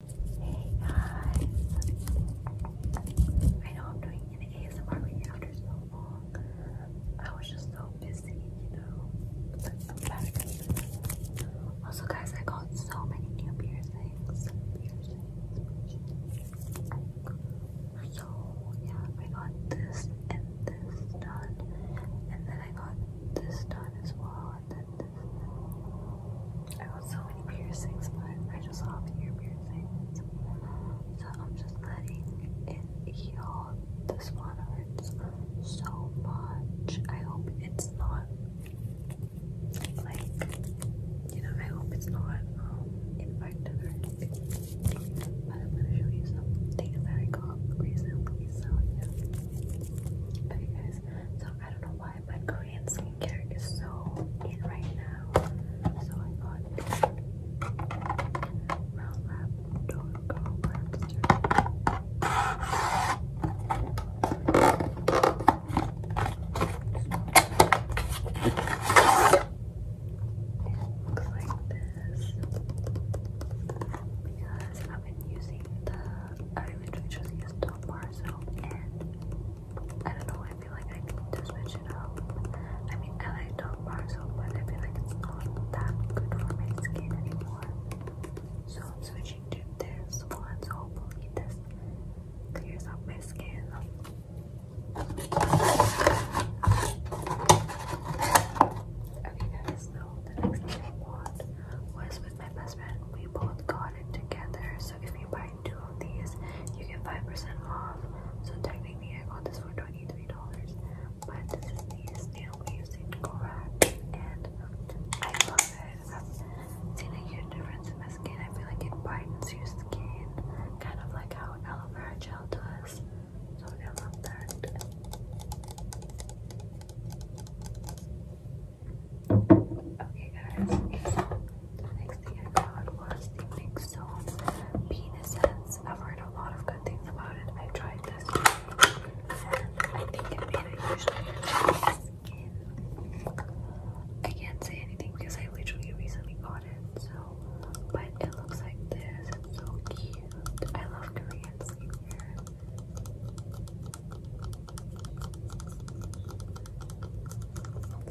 Hey guys! I know I'm doing an ASMR video after so long. I was just so busy, you know. But I'm back. Also guys, I got so many new Piercings. So yeah, I got this and this done. And then I got this done as well. And then I got so many piercings, but I just love ear piercings. So I'm just letting it heal. This one hurts so much. I hope it's not like, you know, I hope it's not um, infected or anything. But I'm gonna show you some things that I got recently. So yeah. Okay, guys. So I don't know why, but Korean skincare is so in right now. So I got this Mount Lab Dorco Lobster. It looks like this because I've been using the I literally just used top parcel and I don't know, I feel like I need to switch it up. I mean I like top parcel but I feel like it's not that good for my skin anymore. So I'm switching to this one hopefully this clears up my skin. Okay guys, though the next thing I bought was with my best friend. We both got it together. So if you buy two of these, you get 5% off. So technically I got this for $23. But this is the snail using Korak and I love it. I've seen a huge difference in my skin. I feel like it brightens your skin, kind of like how aloe vera gel does. I Okay, guys. The next thing I got was the mix zone bean I've heard a lot of good things about it. I have tried this, I think it made a huge I can't say anything because I literally recently got it, so but it looks like this. It's so cute. I love Korean skincare.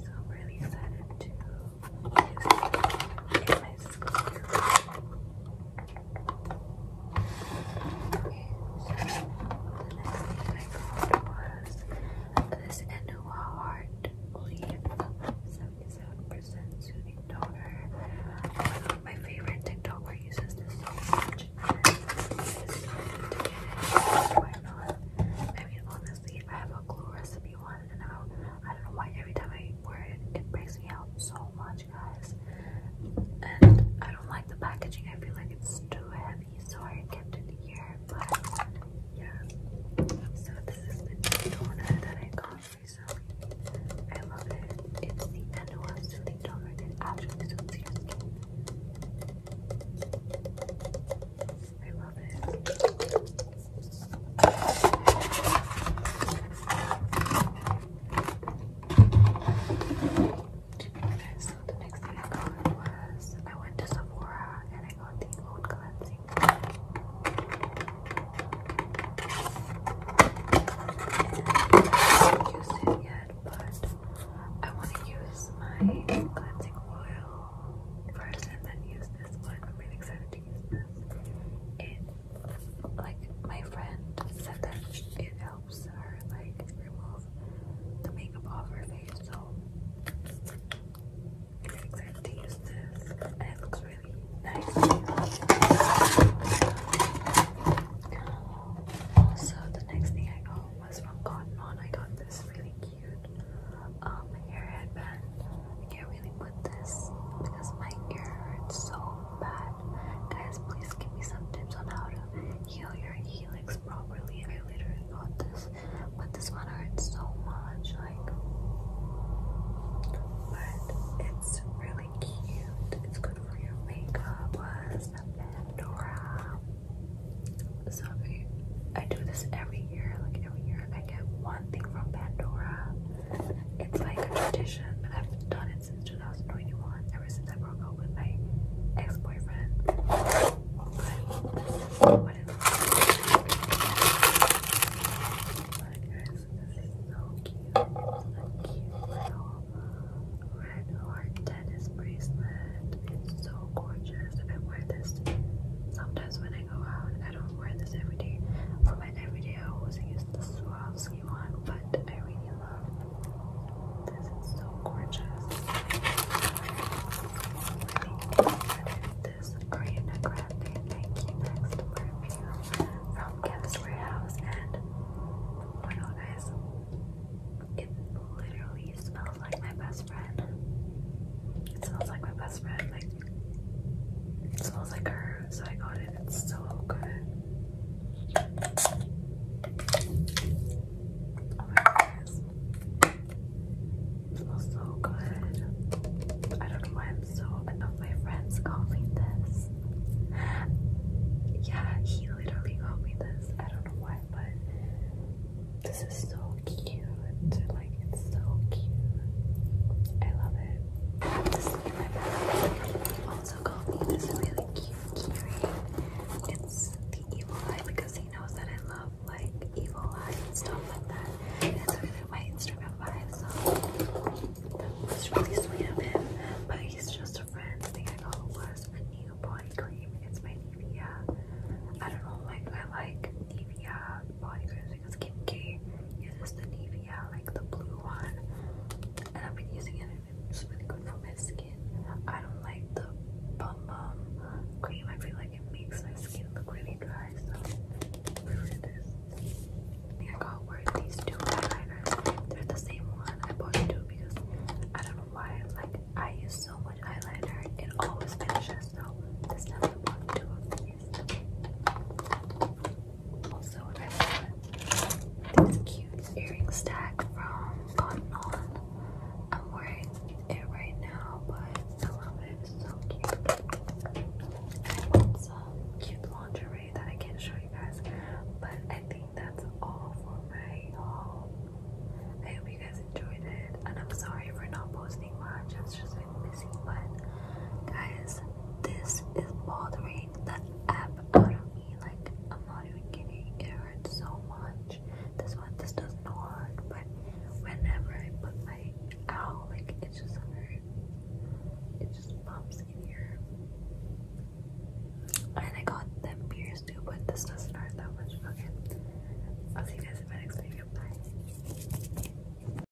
So really excited to use my skincare. Okay, so the next thing I got was this Anua Heart Leaf my favorite TikToker uses this so much. I mean, honestly, I have a glue recipe one, and I don't, know why every time I wear it, it breaks me out so much, guys. And I don't like the packaging. I feel like it's too heavy, so kept it here. Yeah. So this is the toner that I got recently. I love it. It's the Nanoa Soothing Toner. It actually suits your I love it. so the next thing I got was I went to Sephora and I got the Old Cleansing haven't used it yet, but I want to use my cleansing oil first and then use this one. I'm really excited to use this. It, like, my friend said that it helps her, like, remove the makeup off her face so I'm excited this. And it looks really nice. So the next thing I got was from Cotton On. I got this really cute um, hair headband. I can't really put this because my ear hurts so bad. Guys, please give me some tips on how to heal your helix properly. I literally got this, but this one hurts so much. Like, but it's really cute. It's good for your makeup. Was Pandora. So I do this every year. Like every year, I get one thing from Pandora. It's like a tradition. I've done it since 2021. Ever since I broke up with my ex-boyfriend. But what is But this is so cute. a cute little red heart tennis bracelet. It's so gorgeous. I wear this sometimes when I go out. I don't wear this every day. For my everyday I always use the Swarovski one, but I really love this is so gorgeous. This Ariana Grande Thank You Next review from Chemist Warehouse, and oh my god, guys, it literally smells like my best friend. It smells like my best friend. Like it smells like her, so I got it. It's so good guys. smells so good. I don't know why I'm so enough. My friends called me this. Yeah, he literally called me this. I don't know why, but this is so cute. Like it's so cute. I love it. also called me this really cute. Kiri. It's the evil eye because he knows that I love like evil eye and stuff like that. And it's really my Instagram vibe, so really sweet of him. But he's just a friend. I think I got it was a new body cream. It's my Nivea. I don't know, like I like Nivea body creams because Kim uses the Nivea, like the blue one. And I've been using it it's really good for my skin. I don't like the bum bum cream. I feel like it makes my skin look really dry. So this is this. I got worth these two eyeliners. They're the same one. I bought two because I don't know why. Like I use so much eyeliner, it always finishes. So this never bought two of these. Also, I bought this cute earring stack from Cotton On. I'm wearing it right now, but I love it. so cute. I bought cute lingerie that I can't show you guys, but I think that's all for my haul. I hope you guys enjoyed it, and I'm sorry for not posting much. just guys, this is bothering the app out of me. Like, I'm not even kidding. It hurts so much. This one, this doesn't hurt, but whenever I put my ow, like, it just hurts. It just bumps in here. And I got them pierced too, but this doesn't hurt that much. Okay. I'll see you guys in my next video. Bye.